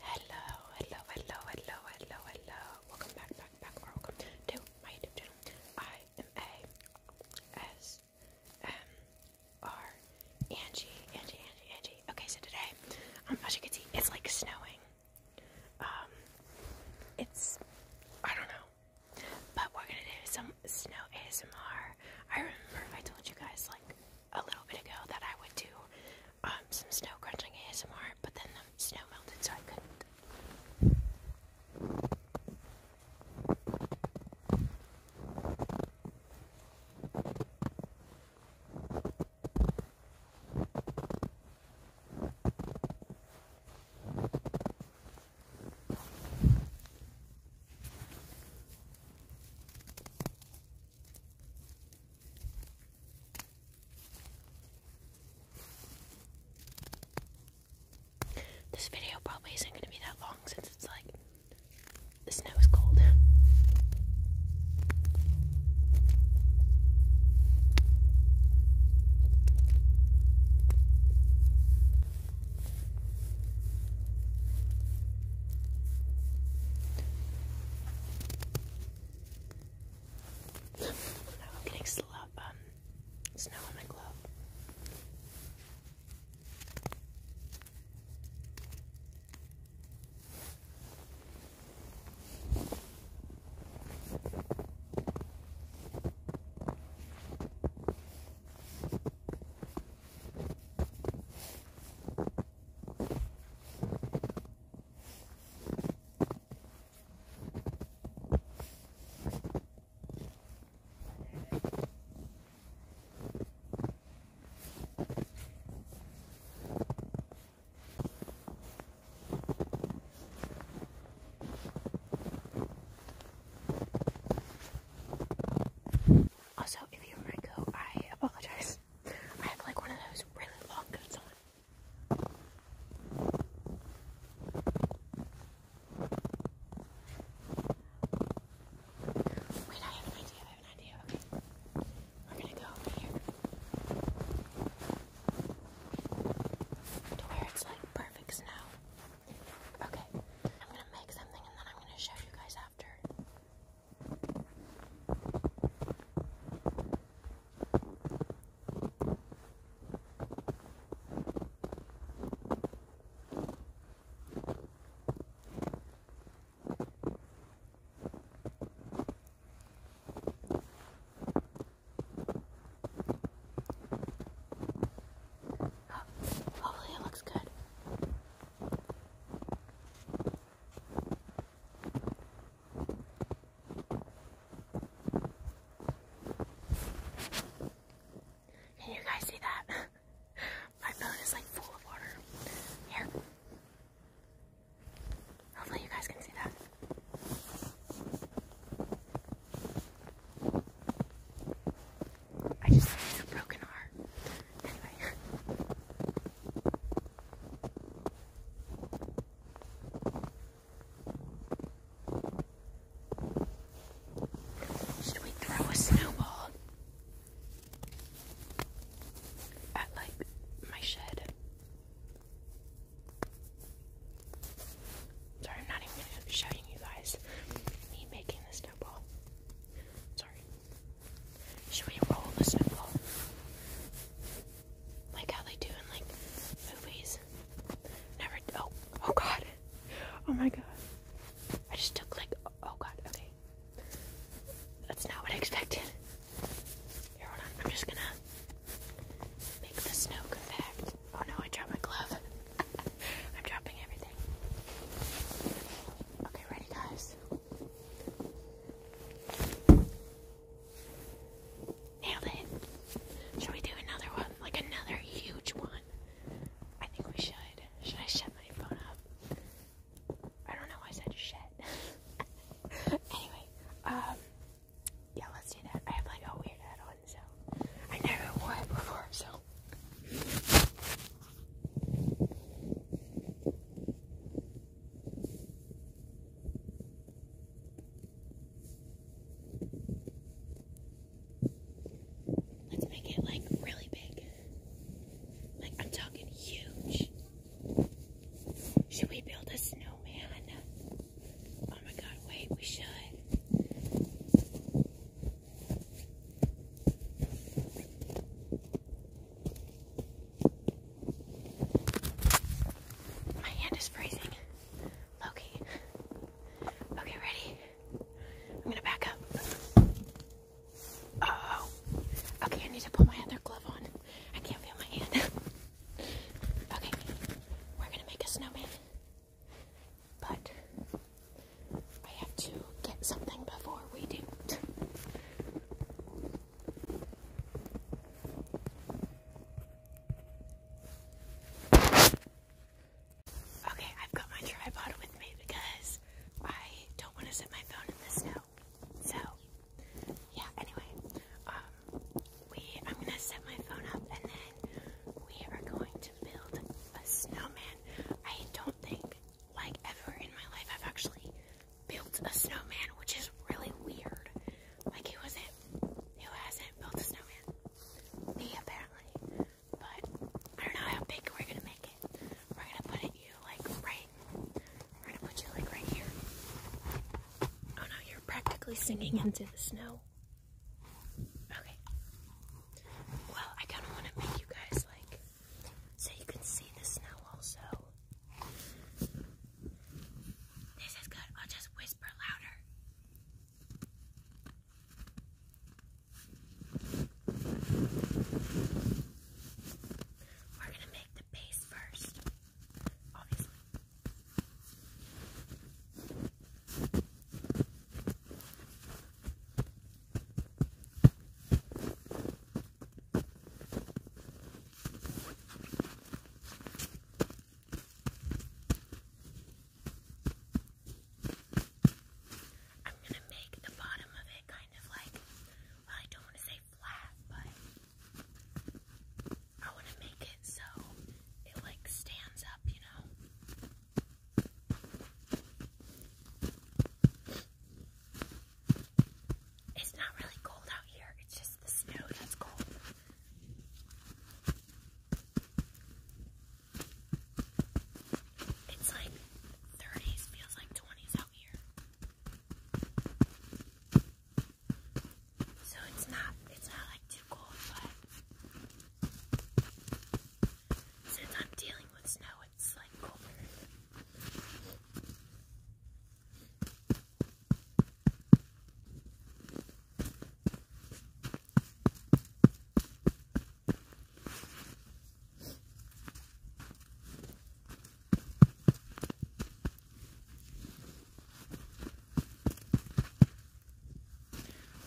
Hello, hello, hello, hello, hello, hello. Welcome back, back, back, or welcome to my YouTube channel. I am A S M R Angie, Angie, Angie, Angie. Okay, so today, um, as you can see, it's like snowing. Um, it's I don't know, but we're gonna do some snow ASMR. I remember I told you guys like a little bit ago that I would do um, some snow crunching ASMR, but then the snow melted, so I couldn't. This video probably isn't going to be that long since it's like the snow is cold now I'm getting slow, um, snow on my glove. Also, if you hear my coat, I apologize. I have like one of those really long coats on. Wait, I have an idea. I have an idea. Okay. We're gonna go here to where it's like perfect snow. Okay. I'm gonna make something and then I'm gonna show you guys after. Oh, hopefully it looks good. Can you guys see that? My phone is like full of water. Here. Hopefully you guys can see that. I just broke an heart. Should we throw a snowball at like my shed? Sorry, I'm not even showing you guys me making the snowball. Sorry. Should we roll the snowball? Like how they do in like movies. Never. Oh, oh god. Oh my god. I just took like. Oh god. Okay. That's not what I expected. I'm just gonna make the snow compact. Oh no, I dropped my glove. I'm dropping everything. Okay, ready, guys. Nailed it. Should we do another one? Like another huge one? I think we should. Should I shut my phone up? I don't know why I said shit. anyway, um, yeah, let's do that. I have like a weird hat on, so I never wore it before, so. Let's make it like really big. Like, I'm talking huge. Should we build a snowman? Oh my god, wait, we should. My hand is freezing. Loki. Okay, ready? I'm gonna back up. Oh. Okay, I need to put my other glove on. I can't feel my hand. okay, we're gonna make a snowman. But I have to get something before we do. it. Okay, I've got my tripod with me because I don't want to set my phone in the snow. So, yeah, anyway, um, we, I'm going to set my phone up and then we are going to build a snowman. I don't think, like, ever in my life I've actually built a snowman, which is really weird. Like he was not Who hasn't built a snowman? Me apparently. But I don't know how big we're gonna make it. We're gonna put it you like right. We're gonna put you like right here. Oh no, you're practically singing mm-hmm. into the snow. Okay. Well, I kind of want to make you guys like so you can see the snow also. This is good. I'll just whisper louder. We're gonna make the base first, I'm gonna make the bottom of it kind of like, well, I don't want to say flat, but I want to make it so it like stands up, you know. It's not really cold out here, it's just the snow that's cold. It's like 30s, feels like 20s out here. So it's not it's not like too cold, but since I'm dealing with snow, it's like colder.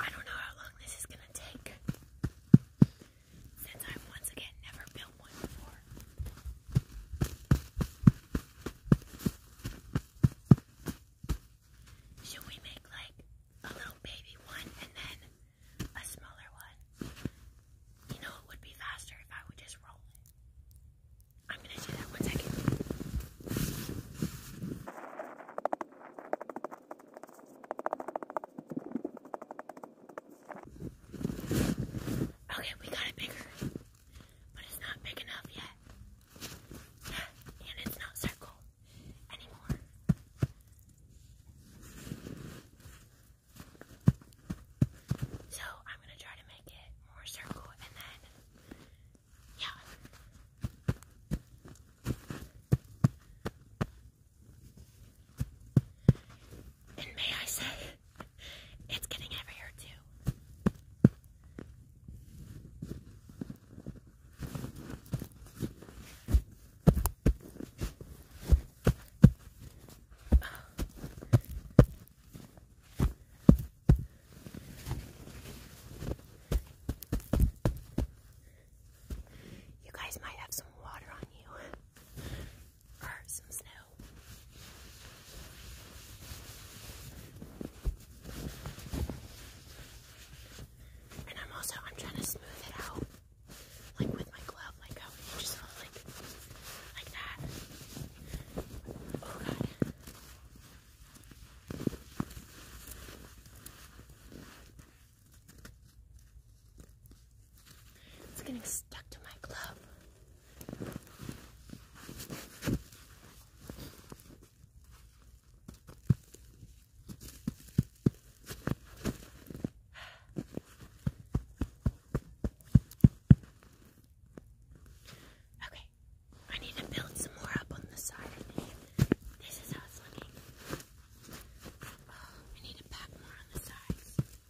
I don't know how long this is going to take. Should we make like a little baby one and then a smaller one? You know, it would be faster if I would just roll I'm gonna do that one second. Okay, we got it bigger, but it's not big enough yet. And it's not circle anymore. So I'm gonna try to make it more circle and then, yeah. And may I say, it's getting heavier too. You guys might have some water on you or some snow. And I'm also I'm trying to smooth it out, like with my glove, like how it just felt like like that. Oh god. It's getting stuck to my glove. Okay, I need to build some more up on the side. This is how it's looking. Oh, I need to pack more on the sides.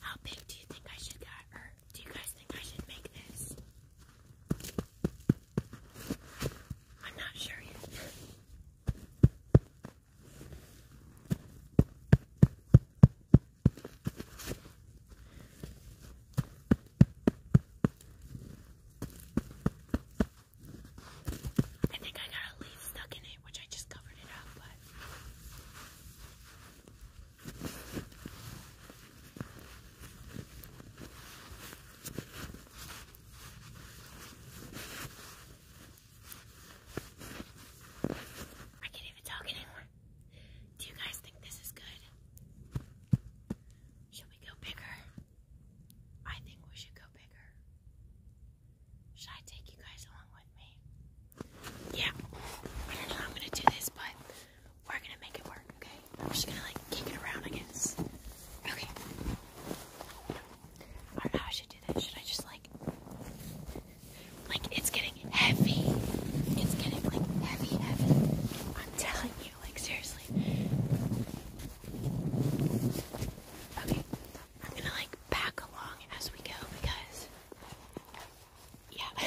How big do you think I should get? Or do you guys think I should make this? I'm not sure yet. I think I got a leaf stuck in it, which I just covered it up, but I can't even talk anymore. Do you guys think this is good? Should we go bigger? I think we should go bigger. Should I take you guys along with me? Yeah. I don't know how I'm gonna do this, but we're gonna make it work, okay? We're just gonna like kick it around, I guess. Okay. I don't know how I should do this. Should I just like like it's getting heavy. It's getting like heavy, heavy. I'm telling you, like seriously. Okay. I'm gonna like back along as we go because yeah.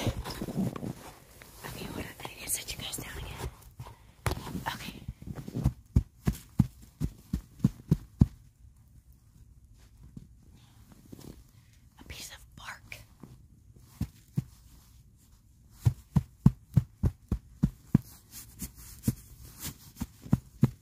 okay, hold I need to set you guys down again. Okay. A piece of bark.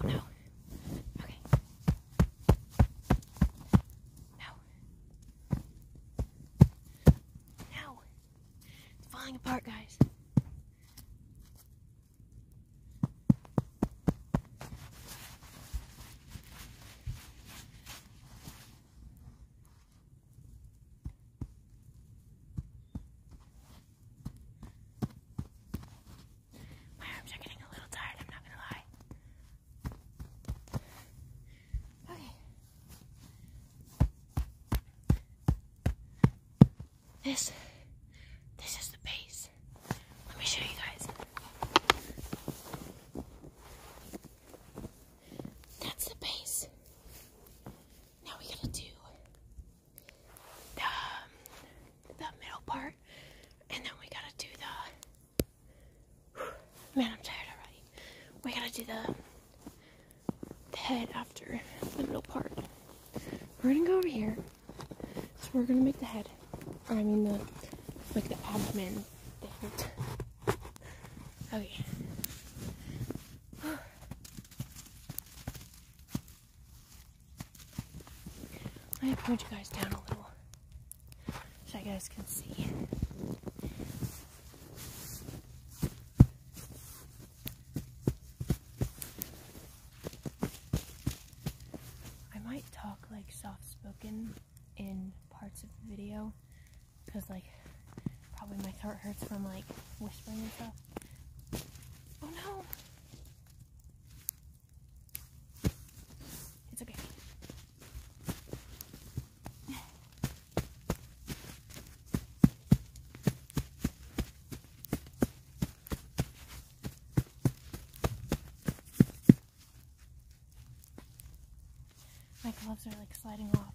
Oh no. Okay. No. No. It's falling apart, guys. My arms are getting a little tired, I'm not gonna lie. Okay. This this is the base. Let me show you guys. That's the base. Now we're gonna do um, the, middle part, and then we gotta do the. man, I'm tired already. We gotta do the, the head after the middle part. We're gonna go over here. So we're gonna make the head, or I mean the, like the abdomen Okay. Let me point you guys down a little so you guys can see. I might talk like soft spoken in parts of the video because like probably my throat hurts from like whispering and stuff. Oh no! It's okay. My gloves are like sliding off.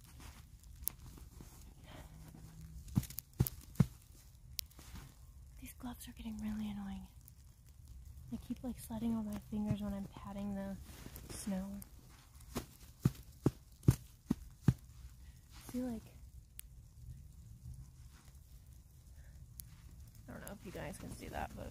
These gloves are getting really annoying. I keep like sliding on my fingers when I'm patting the snow. See like I don't know if you guys can see that, but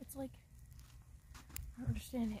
It's like, I don't understand it.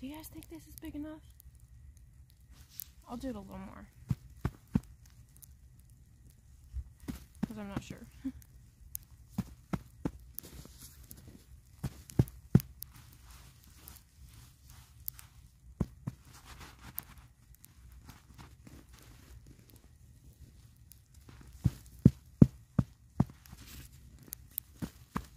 Do you guys think this is big enough? I'll do it a little more. Because I'm not sure.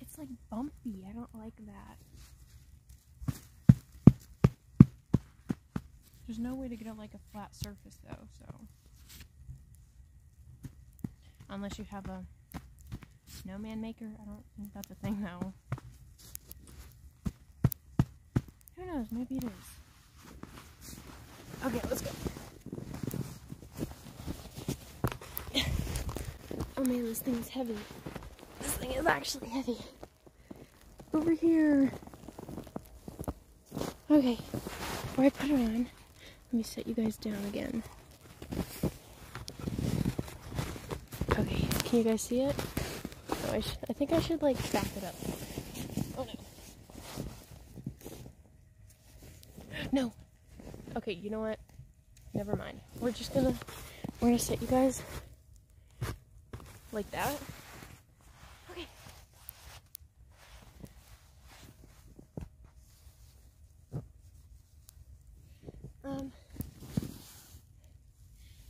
It's like bumpy. I don't like that. There's no way to get on like a flat surface though, so. Unless you have a snowman maker. I don't think that's a thing though. Who knows? Maybe it is. Okay, let's go. Oh man, this thing is heavy. This thing is actually heavy. Over here. Okay, where I put it on, let me set you guys down again. Okay, can you guys see it? Oh, I, think I should like back it up. No. Okay, you know what? Never mind. We're just gonna, we're gonna set you guys like that. Okay. Um,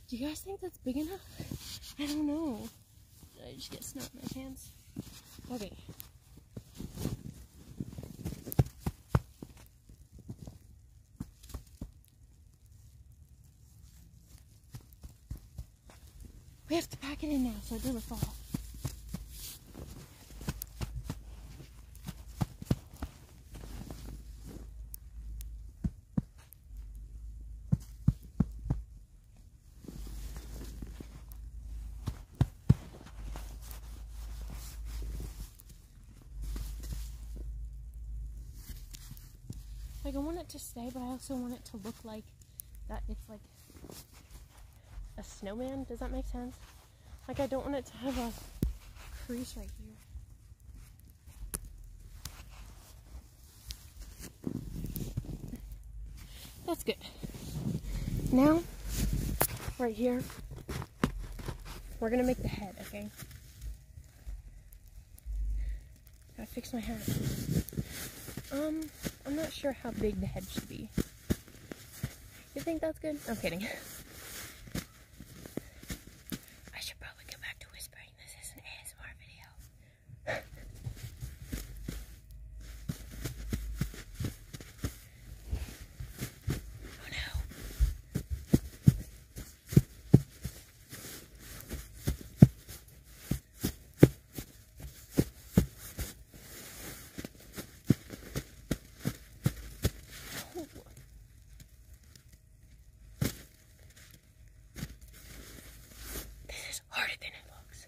do you guys think that's big enough? I don't know. Did I just get snow in my pants? Okay. We have to pack it in now so it doesn't fall. Like I want it to stay, but I also want it to look like that it's like a snowman. Does that make sense? Like I don't want it to have a crease right here. That's good. Now, right here, we're gonna make the head, okay? Gotta fix my hat. Um, I'm not sure how big the head should be. You think that's good? I'm kidding. I should probably go back to whispering. This is an ASMR video. Oh no. no. This is harder than it looks.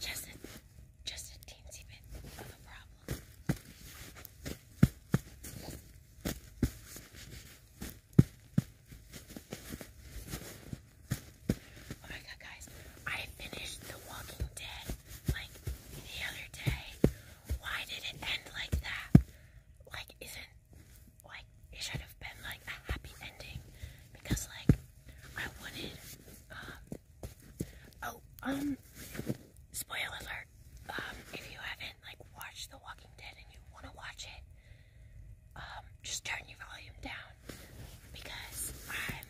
Just a, just a teensy bit of a problem. Oh my god, guys, I finished The Walking Dead like the other day. Why did it end like that? Like, isn't like it should have been like a happy ending because, like, I wanted, uh, oh, um, spoiler alert, um, if you haven't, like, watched The Walking Dead and you want to watch it, um, just turn your volume down, because I'm,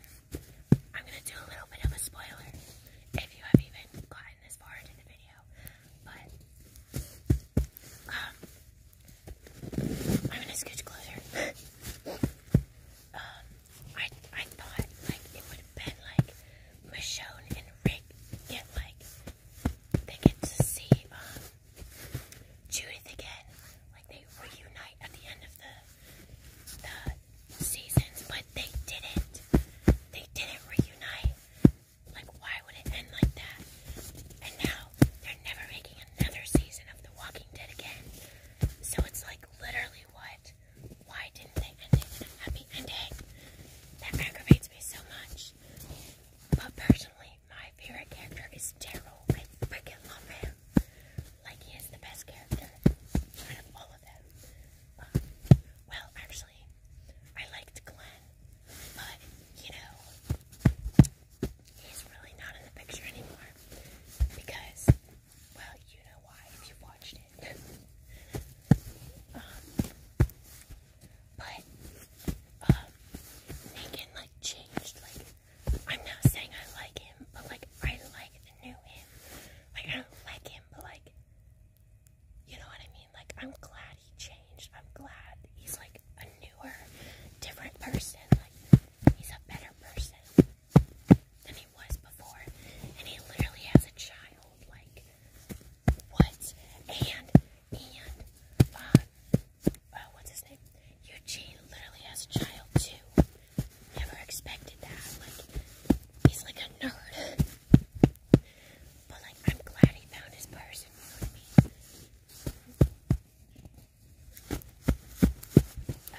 I'm gonna do a little bit of a spoiler, if you have even gotten this far into the video, but, um, I'm gonna scooch closer. Um, I I thought like it would have been like Michonne and Rick get like they get to see um, Judith again, like they reunite at the end of the the seasons, but they didn't. They didn't reunite. Like why would it end like that? And now they're never making another season of The Walking Dead again. So it's like literally what? Why didn't they end it in a happy ending? That aggravates me so much. But personally, my favorite character is Daryl. I freaking love him. Like, he is the best character out of all of them. well, actually, I liked Glenn, but, you know, he's really not in the picture anymore because, well, you know why if you watched it. Um, but, um, Megan, like, changed. Like, I'm not saying I like him, but, like, I like the new him. I don't like him, but, like, you know what I mean? Like, I'm glad he changed. I'm glad he's, like, like a newer, different person. Like he's a better person than he was before, and he literally has a child. Like what? And and uh, uh, what's his name? Eugene literally has a child too. Never expected that. Like he's like a nerd. But like I'm glad he found his person,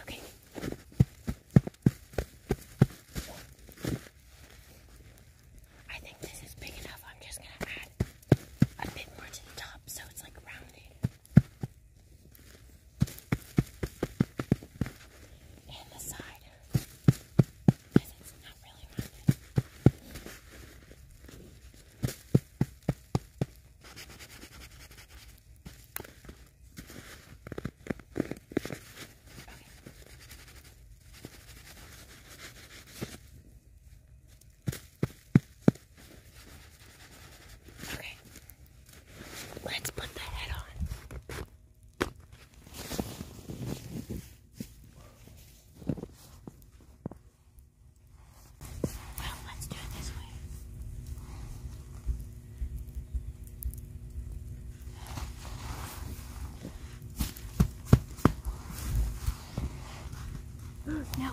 Okay. I think this is big enough. I'm just going to add a bit more to the top so it's like rounded. And the side. Because it's not really rounded. Okay. Let's put the head on. Well, let's do it this way. No.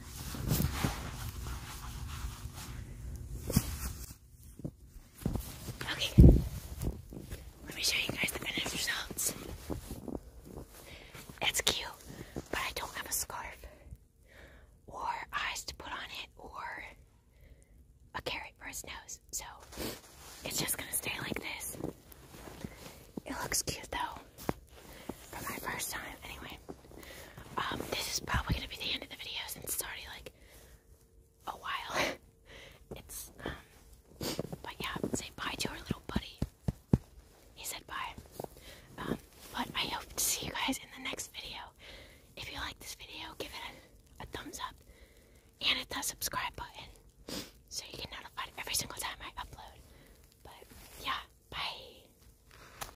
Okay, let me show you guys the finished results. It's cute, but I don't have a scarf or eyes to put on it or a carrot for his nose, so it's just gonna stay like this. It looks cute though, for my first time, anyway. Um, this is probably gonna be the end of the video since it's already like a while. it's um, but yeah, say bye to our little buddy. He said bye. Um, but I hope to see you guys in the next video. If you like this video, give it a thumbs up and hit that subscribe button so you get notified every single time I upload. But yeah, bye.